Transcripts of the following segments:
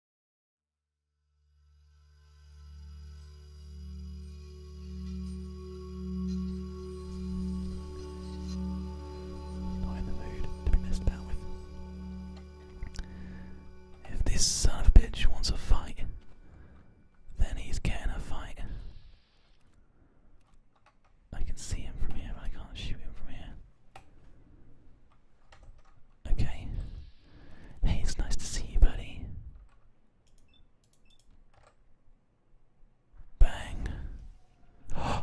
Not in the mood to be messed about with. If this son of a bitch wants a fight, then he's getting a fight. I can see him from here, I can't shoot him from here. Okay. Hey, it's nice to see you, buddy. Bang.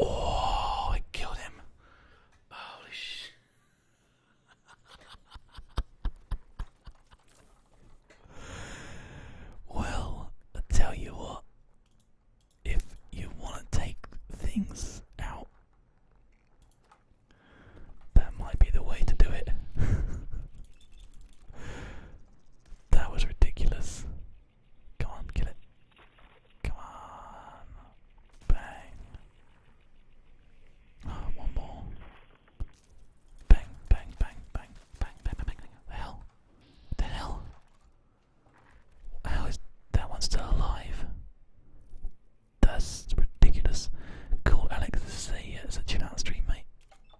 Oh, I killed him. Holy sh. well, I tell you what. If you want to take things out that might be the way to do it. that was ridiculous. Come on, kill it. Come on. Bang. Oh, one more. bang, bang, bang, bang, bang, bang, bang. The hell? The hell? How is that one still alive? That's ridiculous. Cool, Alex. This is a, uh, it's a chill stream, mate.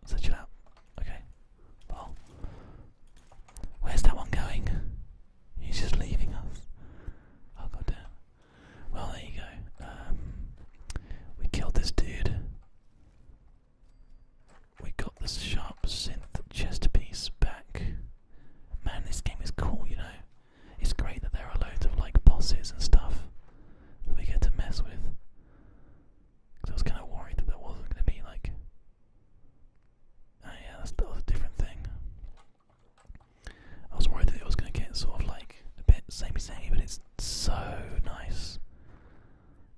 It's a out. Okay. Oh. Where's that one going? He's just leaving us. Oh, god Well, there you go. Um, we killed this dude. We got the sharp synth chest piece back. Man, this game is cool, you know. It's great that there are loads of like bosses and stuff that we get to mess with. Because I was kind of worried that there wasn't going to be like. Oh yeah, that's, that was different thing. I was worried that it was going to get sort of like a bit samey samey, but it's so nice.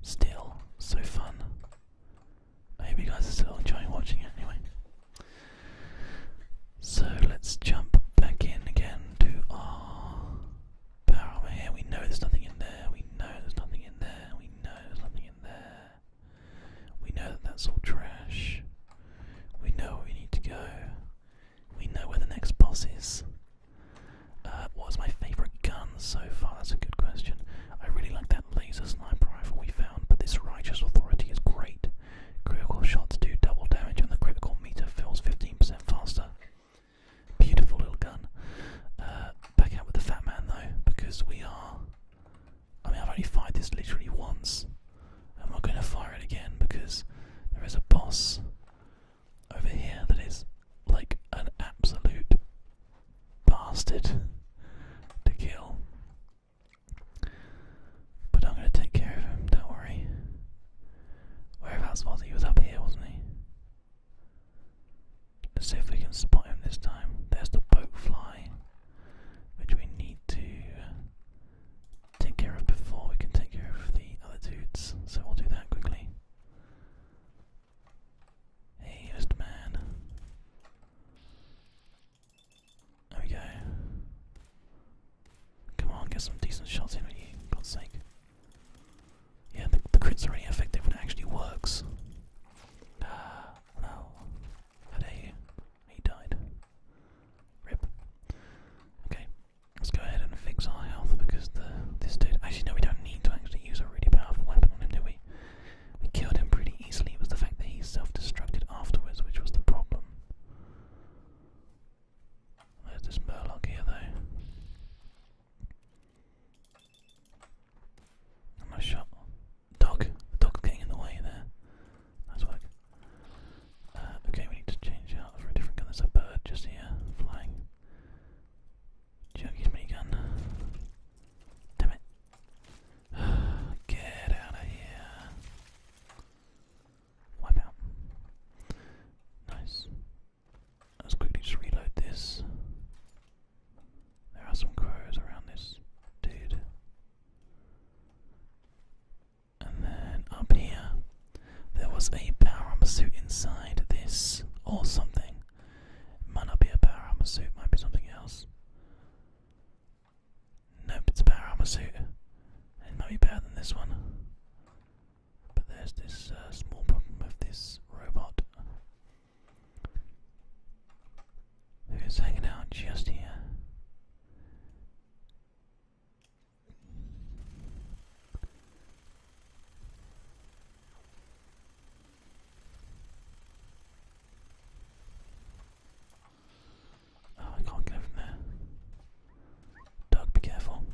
Still, so fun. I hope you guys are still enjoying watching it anyway. So let's jump back in again to our power armor here. We know there's nothing in there. We know there's nothing in there. We know there's nothing in there. We know that that's all trash. We know where we need to go. We know where the next boss is. Uh, what was my favourite gun so far? That's a good question. I really like that laser sniper rifle we found, but this righteous authority is great. Critical shots do double damage and the critical meter fills 15% faster. Beautiful little gun. Uh, back out with the fat man though, because we are. I mean, I've only fired this literally once. I'm not going to fire it again because there is a boss over here that is like an absolute bastard to kill. But I'm gonna take care of him, don't worry. Whereabouts was he? was up here, wasn't he? Let's see if we can spot him this time. There's the boat fly, which we need to take care of before we can take care of the other dudes, so we'll do that quickly. Hey, Mr. Man. There we go. Come on, get some decent shots in with you, sake. Yeah, the, crits are only when it actually works. Ah, How dare you? He died. Rip. Okay, let's go ahead and fix our health because the this dude. Actually, no, we don't need to actually use a really powerful weapon on him, do we? We killed him pretty easily. It was the fact that he self-destructed afterwards, which was the problem. There's this Murloc here though. i shot. Dog. The dog's getting in the way there. Nice work. Uh, okay, we need to change out for a different gun. There's bird just here, flying. Juggy's minigun. Damn it. Get out of here wipe Nice. Let's quickly just reload this. There are some crows around this dude. And then up here, there was a power armor suit inside this, or something. Might not be a power armor suit, might be something else. Nope, it's a better armor suit. It might be better than this one. But there's this uh, small problem with this robot who's hanging out just here. Oh, I can't get over there. Doug, be careful.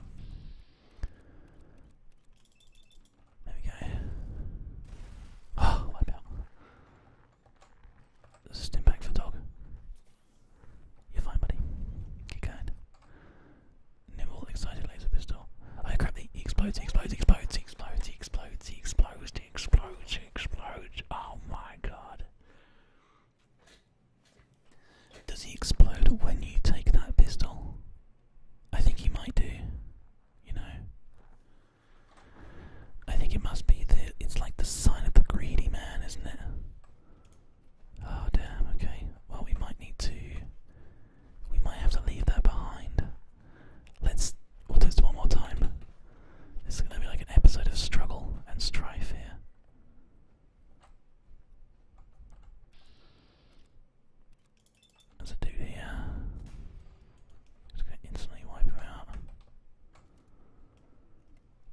There we go. Oh, wipe out. There's a for dog. You're fine, buddy. Keep going. Nimble, excited laser pistol. Oh crap, he explodes, explodes, explodes, explodes, explodes, explodes, explodes, explodes. Oh my god. Does he explode when you take that pistol? I think he might do. You know. I think it must be the. It's like the sign of the greedy man, isn't it? Oh damn. Okay. Well, we might need to. We might have to leave that behind. Let's. We'll do this one more time. This is going to be like an episode of struggle and strife here. As I do here, just going to instantly wipe her out.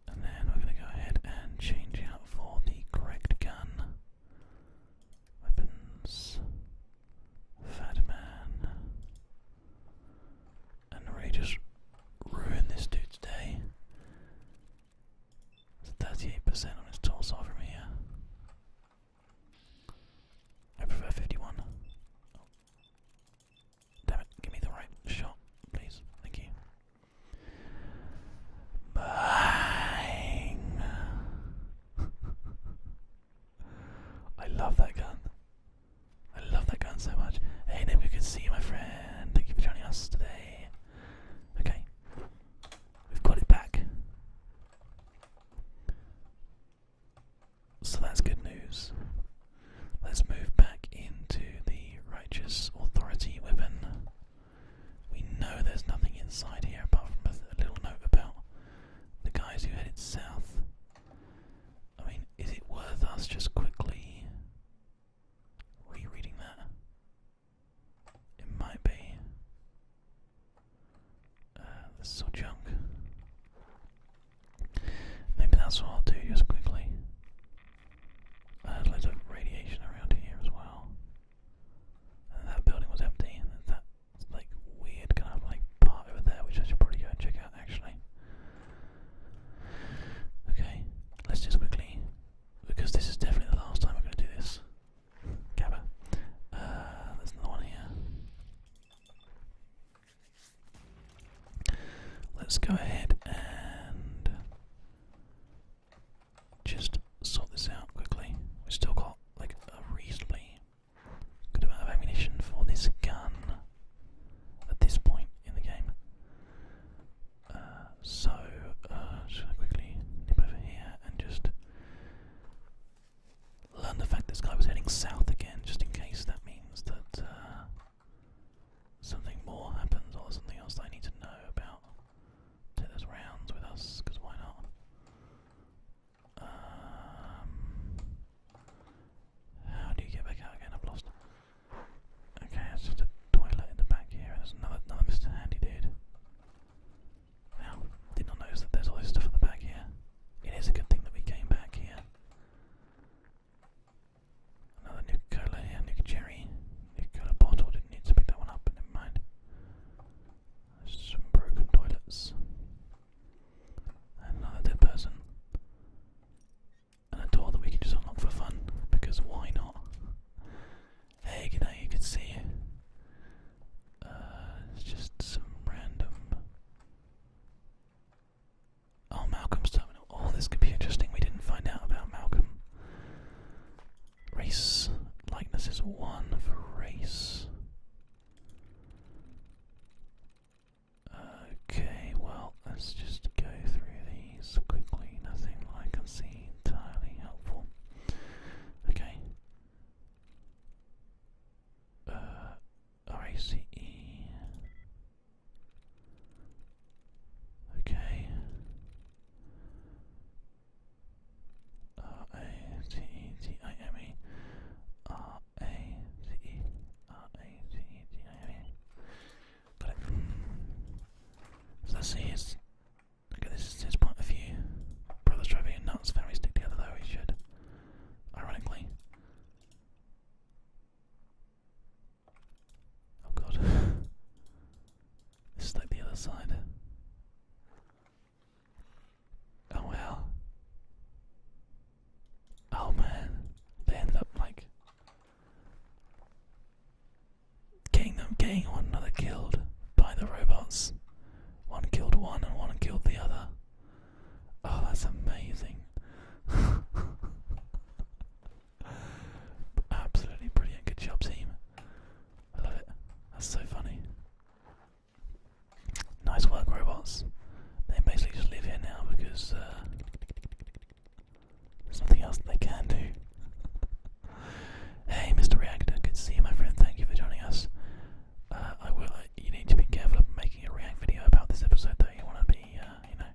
And then we're going to go ahead and change out for the correct gun. Weapons, Fat Man, and really just ruin this dude's day. It's 38% on its torso from here. I prefer 51. Damn it, give me the right shot, please. Thank you. Bang! I love that gun. I love that gun so much. Hey, Nibu, good to see you, my friend. Thank you for joining us today. Okay, we've got it back. So that's good news. Let's move back into the Righteous Authority weapon. We know there's nothing inside here apart from a, little note about the guys who headed south. I mean, is it worth us just quickly rereading that? It might be uh, junk. Maybe that's what I'll do just quickly. I had loads of radiation around here as well. that building was empty, and that like weird kind of like part over there, which I should probably go and check out actually. Okay, let's just quickly because this is definitely the last time I'm going to do this. Gabba. Uh, there's another one here. Let's go ahead and just sort this out quickly. We've still got like a reasonably good amount of ammunition for this gun at this point in the game so, uh, just quickly nip over here and just learn the fact this guy was heading south again, just in case that means that uh, something more happens or something else that I need to know about. Take rounds with us, because why not? Um, how do you get back out again? I've lost. Okay, that's just a toilet in the back here, and there's another, Mr. Handy dude. Now, did not notice that there's all this stuff in the back here. It is a good thing that we came back here. Another Nuka Cola here, Nuka Cherry. Nuka Cola bottle, didn't need to pick that one up, but never mind. some broken toilets. And another dead person. And a door that we can just unlock for fun, because why not? There you you uh, can see it's just some random. Oh, Malcolm's terminal. Oh, this could be interesting. We didn't find out about Malcolm. Race likeness is one for race. Okay, well, let's just go through these quickly, nothing I can see entirely helpful. Okay. Uh, RACE. Okay. R A C E T I M E. R A C E. R A C E T I M E. Got it. So that's it. Okay, this is quite a of view. Brothers driving in nuts, families stick together though, we should. Ironically. Oh god. this the other side. Oh well. Oh man. They ended up like Getting them one another killed by the robots. One killed one and one killed the other. Oh, that's amazing. Absolutely brilliant. Good job, team. I love it. That's so funny. Nice work, robots. They basically just live here now because uh, there's nothing else they can do. hey, Mr. Reactor, good to see you, my friend. Thank you for joining us. Uh, I will. Uh, you need to be careful of making a React video about this episode, though. You want to be, uh, you know,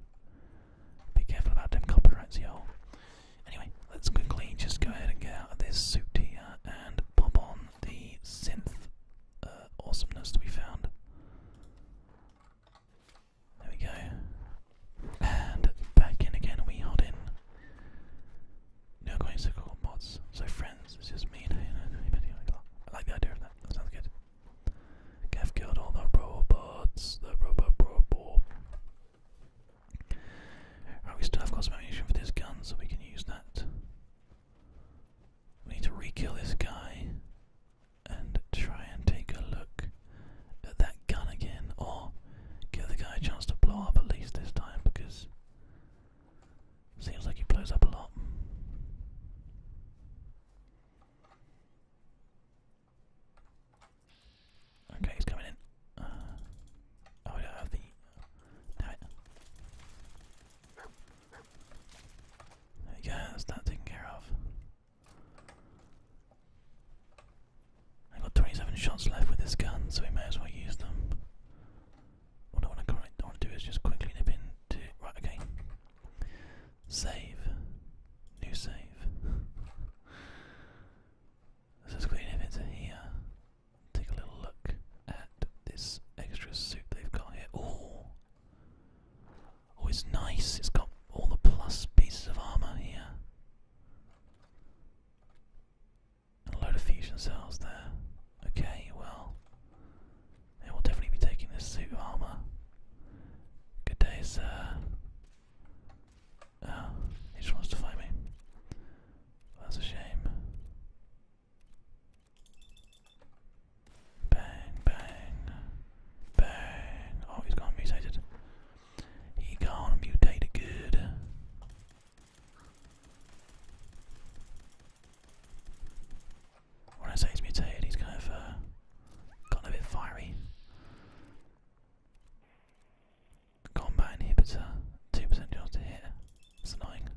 be careful about them copyrights, y'all. Anyway, let's quickly just go ahead and get out of this suit here and pop on the synth uh, awesomeness we found. There we go. And back in again we hold in. No going to call mods. So friends, it's just me and anybody like that. I like the idea of that. sounds good. Gav killed all the robots. The robot robot. Right, we still have got some ammunition for this gun, so we can use that. We need to rekill this guy and try and take a look at that gun again, or give the guy a chance to blow up at least this time because seems like he blows up a lot. Okay, he's coming in. Uh, oh, I the. Damn it. that's that taken care of. I have got 27 shots left with this gun, so we may as well use them. What I want to do is just quickly nip into right. Okay, save, new save. Let's just quickly nip into here. Take a little look at this extra suit they've got here. Oh, oh, it's nice. It's got all the plus pieces of armor here. A load of fusion cells there. Okay, well, it will definitely be taking this suit armor. Good day, sir. Oh, he just wants to find me. That's a shame. Bang, bang, bang. Oh, he's gone mutated. He gone mutated good. When I say he's mutated, he's kind of uh, a bit fiery. Combat inhibitor, 2% chance to hit. It's annoying.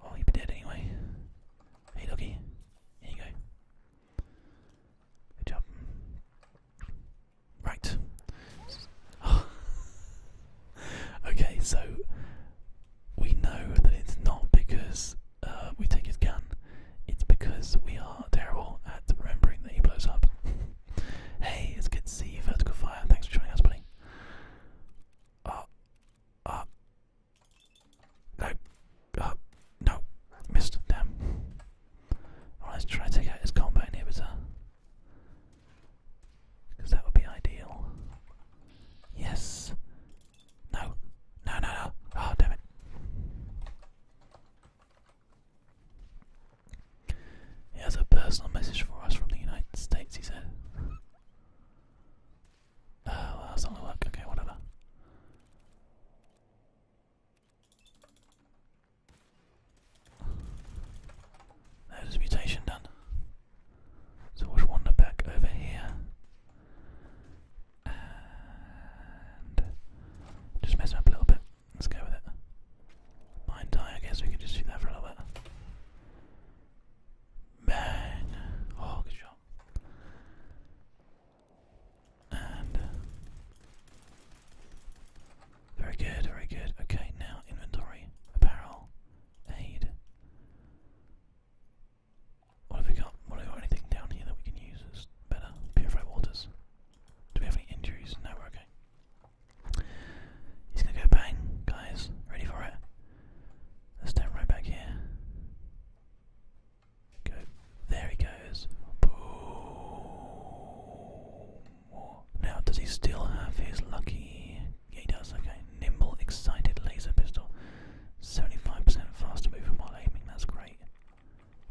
Well, oh, he'd be dead anyway. Hey, doggy. Here you go. Good job. Right. okay, so we know that it's not because uh, we take his gun, it's because we are terrible at remembering that he blows up. hey, it's good to see you, Vertical Fire. Thanks for joining us, buddy. Uh, uh, no, Oh no, missed. Damn. Alright, let's try to take out his combat inhibitor. Because that would be ideal. Yes. No. No, no, no. Oh, damn it. He has a personal message for us from the United States, he said. Oh, well, that's not going work. Okay, whatever. There's a mutation done. So we'll back over here. And just mess up a little bit. Let's go with it. Mind die, I guess we could just do that for a little bit. Bang! Oh, good shot. Uh, very good, very good. Okay, now inventory, apparel, aid. What have we got? What have we got? Anything down here that we can use that's better? Purify waters. Do we have any injuries? No, we're okay. He's gonna go bang, guys. Ready for it? Let's stand right back here. Go. There he goes. Now, does he still have his lucky? Yeah, he does. Okay. Nimble, excited laser pistol. 75% faster movement while aiming. That's great.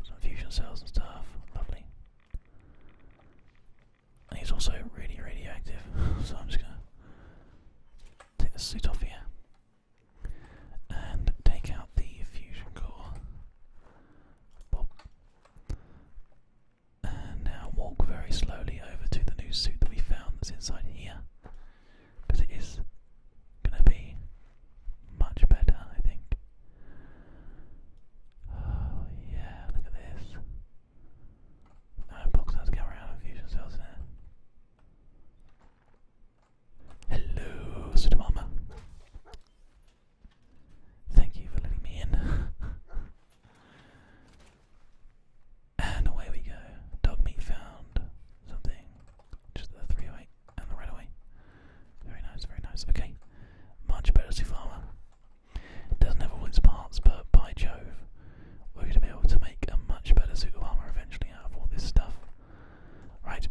Some fusion cells and stuff. Lovely. And he's also really radioactive, so I'm just gonna take the suit off here and take out the fusion core. And now walk very slowly over to the new suit that we found inside here. Because it is going to be much better, I think. Oh, yeah, look at this. No, box has fusion cells in Hello, Suit Mama. Thank you for letting me in. and away we go. Dog meat found something. Just the 308 and the right Very nice, very nice. Okay. Much better so far. Doesn't have all parts, but by Jove, we're going to be able to make a much better suit of armor eventually out of all this stuff. Right,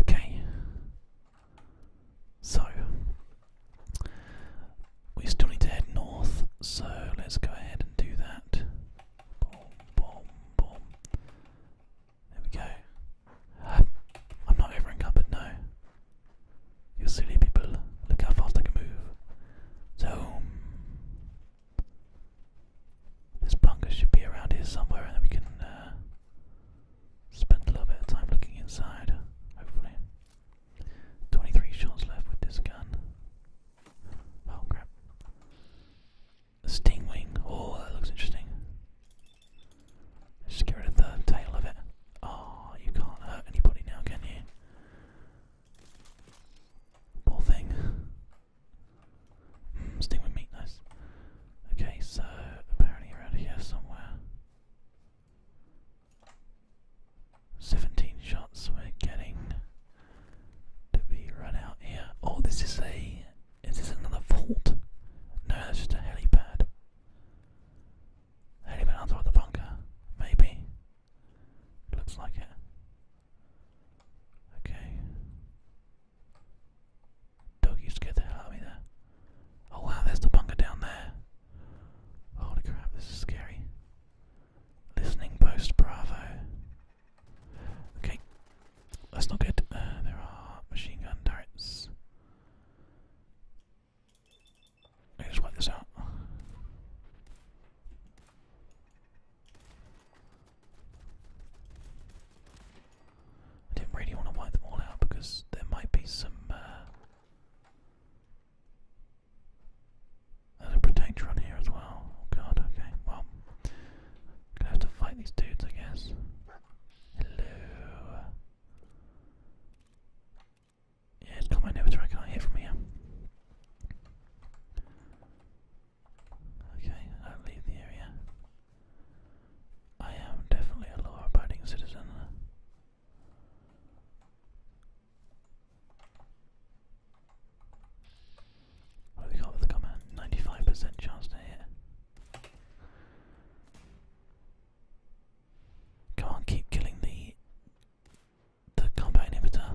Okay. So we still need to head north, so let's go ahead and do that. There we go. I'm not over encumbered You silly people, look how fast I can move. So, um, this bunker should be around here somewhere, and then we can uh, Spend a little bit of time looking inside, hopefully. 23 shots left with this gun. Oh crap. stingwing. Oh, that looks interesting. Let's get rid of the tail of it. Oh, you can't hurt anybody now, can you? Poor thing. Hmm, stingwing meat, nice. Okay, so apparently around here somewhere. 17 shots we're getting to be run out here. Oh, this is a. Is this another vault? No, that's just a helipad. Helipad on the bunker, maybe. Looks like it. Okay. Doggy scared the hell out of me Oh wow, there's the bunker down there. Holy crap, this is scary. Listening post Bravo. Okay, that's not good. Uh, there are machine gun turrets. Let's wipe this out. I didn't really want to wipe them all out because there might be some uh, protector on here as well. Oh god, okay, well gonna have to fight these dudes I guess. Hello. Yeah, it's got my inhibitor, I can from here. Okay, i leave the area. I am definitely a law abiding citizen. we got the comment? 95% chance to hit. Can't keep killing the the combat inhibitor.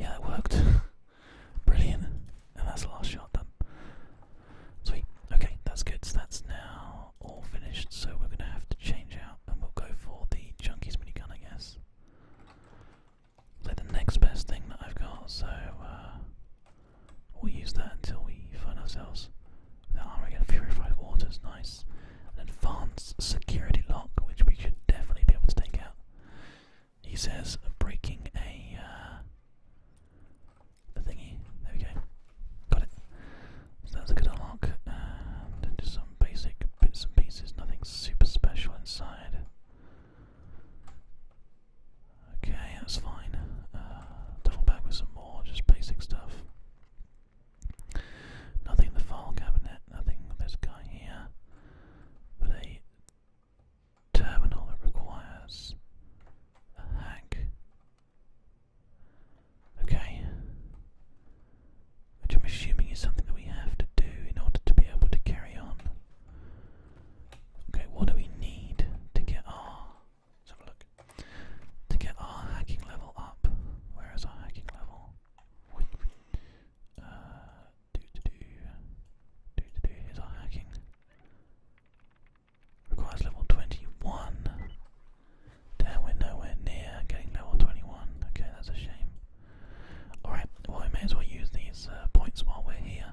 Yeah, it worked. Brilliant. And that's the last shot done. Sweet. Okay, that's good. So that's now all finished. So we're going to have to change out and we'll go for the Junkies gun, I guess. So the next best thing that I've got, so uh, we'll use that until we find ourselves The our armor again. Purified water's nice. An advanced security lock, which we should definitely be able to take out. He says breaking a uh, the thingy. There we go. Got it. So that's a good unlock. And just some basic bits and pieces, nothing super special inside. Okay, that's fine. Uh, double back with some more, just basic stuff. Nothing in the file cabinet, nothing this guy here. But a terminal that requires a hack. Okay. Which I'm assuming is something that we have to do in order to be able to carry on. Okay, what do we need to get our let's have a look. To get our hacking level up. Where is our hacking level? do uh, to do do to do here's our hacking. Requires level 21. Damn, we're nowhere near getting level 21. Okay, that's a shame. Alright, well, we may as well use these uh, points while we're here.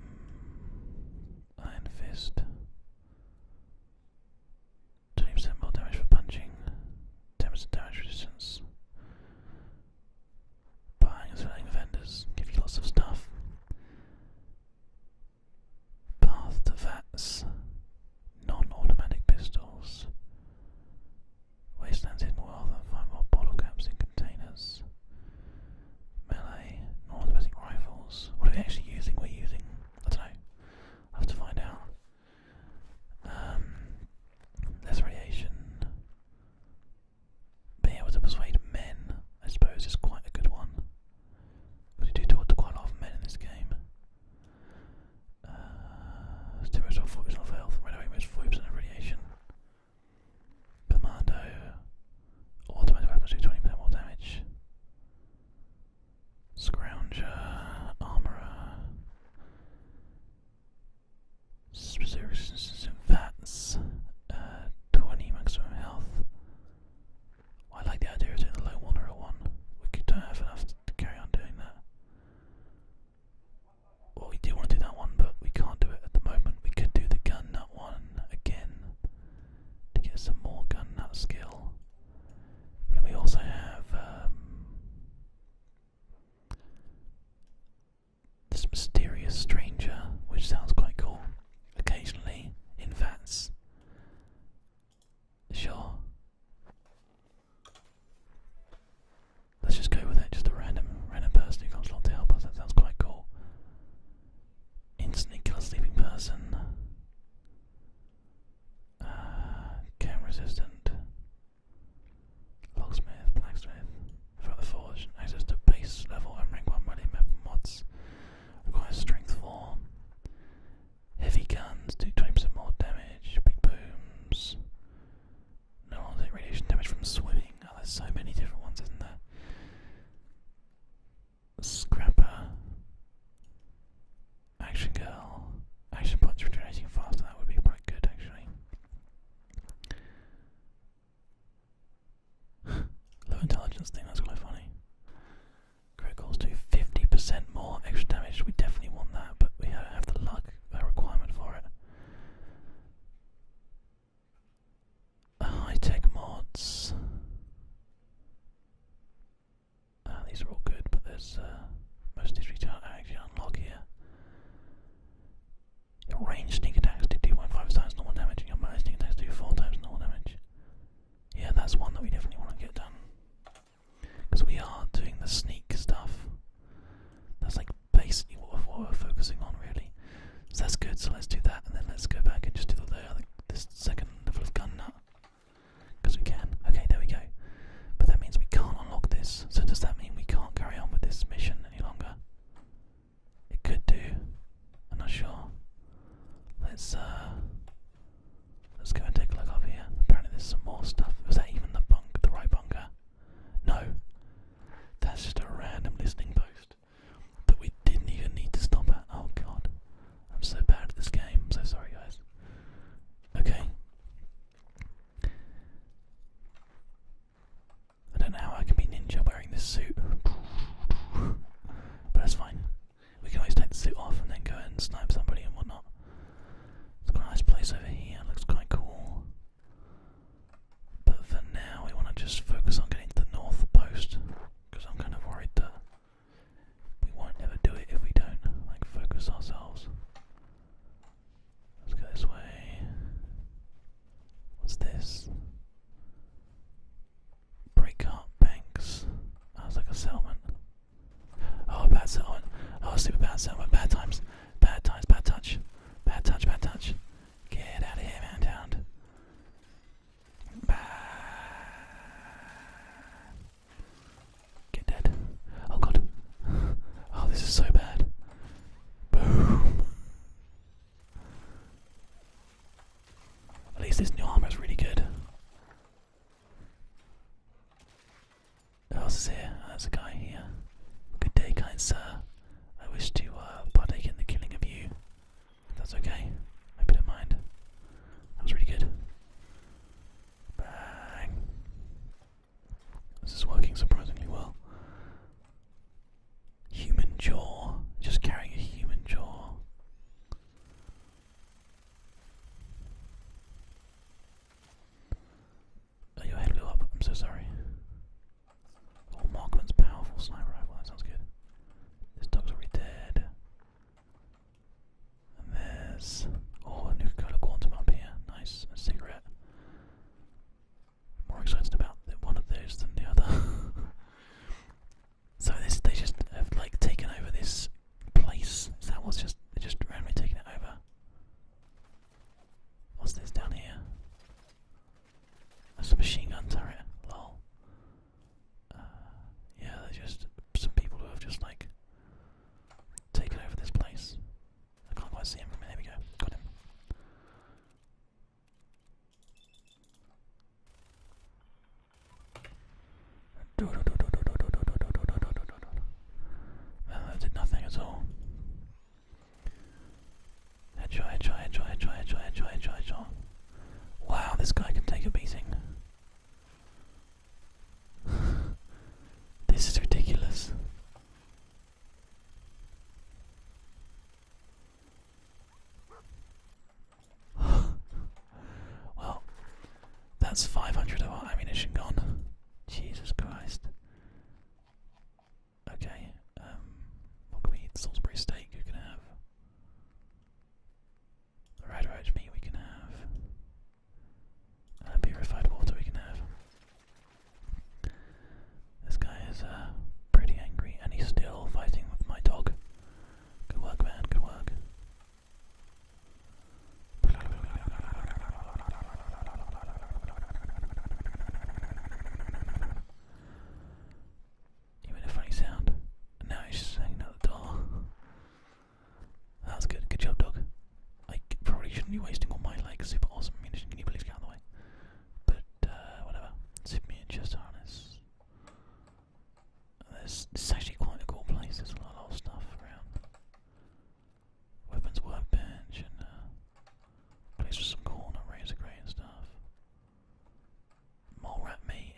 Hmm. iron Fist. 20% more damage for punching. 10% damage resistance. Buying and selling vendors give you lots of stuff. Path to vats, non-automatic pistols, wastelands wealth and find more bottle caps in containers. Melee, non-automatic rifles. What are we actually using? We're using I don't know. have to find out. less um, radiation being able to persuade men, I suppose, is quite a good one. Because you do talk to quite a lot of men in this game. Uh, Steroids of 40% health, right away moves 40% of radiation. Commando, automatic weapons do 20% more damage. Scrounger, armorer zero fats, uh, 20 maximum health. I like the idea of doing the low moderate one. We could don't have enough to carry on doing that. Well, we do want to do that one, but we can't do it at the moment. We could do the gun that one again to get some more gun that skill. But we also have um, this mysterious stranger, which sounds quite cool, occasionally in vats. Sure. Let's just go with it, just a random random person who comes along to help us, that sounds quite cool. Instantly kill a sleeping person. Uh, camera resistant. Locksmith, blacksmith. Throughout the Forge, access to base level and rank 1 melee map mods. Requires strength 4. Heavy guns do 20% more damage. Big booms. No one take radiation damage from swimming. Oh, there's so many different ones, isn't there? Scrapper. Action girl. Action points regenerating faster. That would be quite good, actually. Low intelligence thing, that's quite funny. Criticals do 50% more extra damage, we definitely want that, but we don't have the luck requirement for it. High tech mods. Ah, these are all good, but there's uh, most of these we can't actually unlock here. Your range sneak attacks do 2.5 times normal damage, and your melee sneak attacks do 4 times normal damage. Yeah, that's one that we definitely want to get done. Because we are doing the sneak stuff. That's like basically what, we're focusing on, really. So that's good, so let's do that, and then let's go back and just do the, the this second level of gun nut. Because we can. Okay, there we go. But that means we can't unlock this, so does that mean we can't carry on with this mission any longer? It could do. I'm not sure. Let's uh, let's go and take a look over here. Apparently there's some more stuff. Was that even the bunk the right bunker? No. That's just a random listening post. That we didn't even need to stop Oh god. I'm so bad at this game. I'm so sorry guys. Okay. I don't know how I can be ninja wearing this suit. But that's fine. We can always take the suit off and then go and snipe somebody and whatnot. It's has a nice place over here, looks quite cool. But for now, we want to just focus on getting to the north post. Because I'm kind of worried that we won't ever do it if we don't, like, focus ourselves. Let's go this way. What's this? Break up banks. Oh, that was like a settlement. Oh, bad settlement. Oh, super bad settlement. Bad times. Bad times. Bad touch. Bad touch. Bad touch. Get out of here, man. Down. Get dead. Oh god. Oh, this is so bad. Boom. At least this new armor is really good. Who else is here? Oh, there's a guy here. Good day, kind sir. I wish to uh, partake in the killing of you. that's okay. I hope you don't mind. That's really good. Bang. This is working surprisingly well. Human jaw. Just carrying a human jaw. Oh, your head blew up. I'm so sorry. Oh, Markman's powerful sniper rifle. That sounds good. This dog's already dead. And there's. Oh, a Nuka Cola Quantum up here. Nice. cigarette more excited about one of those than the other. so this, they just have like taken over this place. that was just they just randomly taking it over? What's this down here? That's a machine gun turret. Lol. Uh, yeah, they're just some people who have just like taken over this place. I can't quite see him. There we go. Got him. I did nothing at all. Headshot, headshot, headshot, headshot, headshot, headshot, headshot, headshot. Wow, this guy can take a beating. this is ridiculous. well, that's 500 of our ammunition gone. Jesus Christ. Okay, um, what can we Salisbury steak, you can have. Red roach meat, we can have. Uh, purified water, we can have. This guy is uh, pretty angry, and he's still fighting with my dog. Good work, man. Good work. You made a funny sound. And now he's just hanging out the door. That was good. Good job, dog. I probably shouldn't be wasting all my like super awesome ammunition. Can you please get out of the way? But uh, whatever. Zip me harness. This, is actually quite a cool place, there's a lot of stuff around. Weapons workbench and uh, place with some corn and razor grey stuff. More rat meat,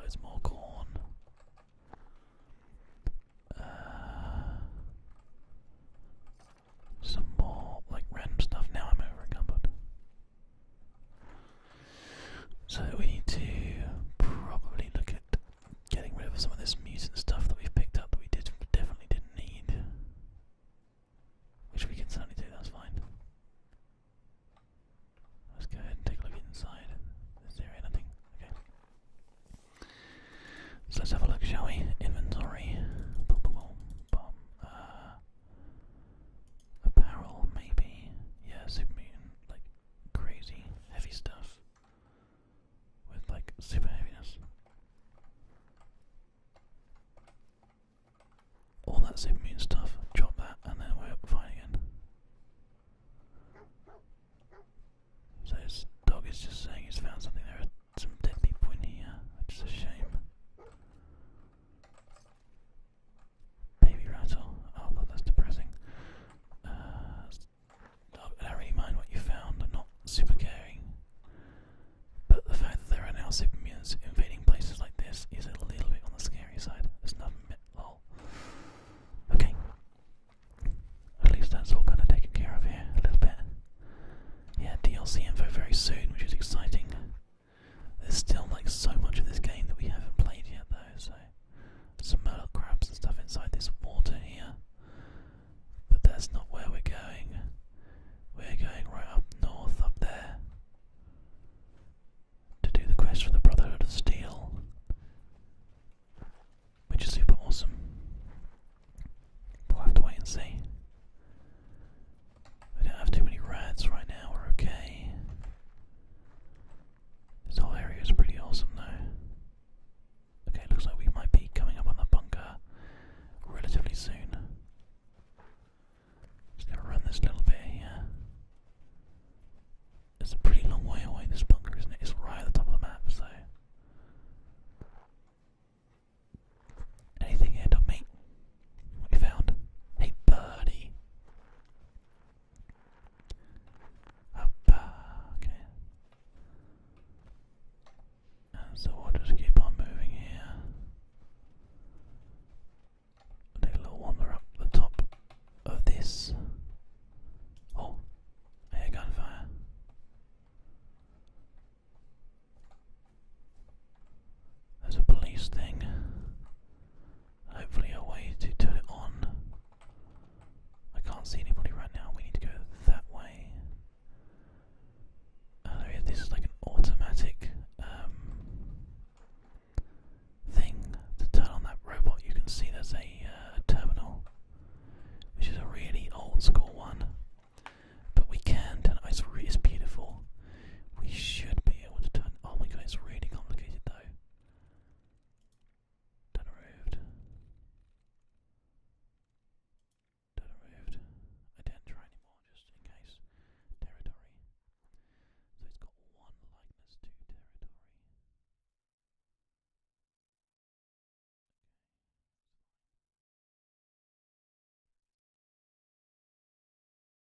loads more corn. Uh, some more like random stuff. Now I'm over so we need to probably look at getting rid of some of this mutant stuff that we've picked up that we definitely didn't need. Which we can certainly do, that's fine. Let's go ahead and take a look inside. Is there anything? Okay. So let's have a look, shall we? Inventory. Boom, Apparel, maybe. Yeah, super mutant, like crazy heavy stuff with like super heaviness. All that super mutant stuff, drop that, and then we're fine again. So his dog is just saying he's found something. There are some dead people in here, which a shame. Baby rattle. Oh that's depressing. Uh, don't really what you found. not super caring. But the fact that there are now super mutants invading places like this is a little bit on the scary side. There's nothing. Lol. Okay. At least that's all kind of taken care of here a little bit. Yeah, DLC info very soon, which is exciting. There's still like so much of this game that we haven't played yet though, so some murloc crabs and stuff inside this water here. But that's not where we're going. We're going right up north up there to do the quest for the Brotherhood of Steel. Which is super awesome. We'll have to wait and see. We don't have too many rats right now, we're okay. This whole area is pretty awesome though. Okay, looks like we might be coming up on the bunker relatively soon. Just gonna run this little bit here. It's a pretty long way away, this bunker, isn't it? It's right at the top of the map, so. Anything here, dog mate? What found? Hey, birdie. okay. Um, so we'll just keep on moving here. a little wander up the top of this. Oh, air gunfire. There's a police thing. Hopefully a way to turn it on. I can't see anybody right now. We need to go that way. Oh, this is like an automatic um, thing to turn on that robot. You can see there's a uh, terminal, which is a really old school one. But we can And I It's, it's beautiful. We should be able to turn. Oh my god, it's really complicated though. Turn arrived. Turn arrived. I didn't try anymore just in case. Territory. So it's got one likeness to territory.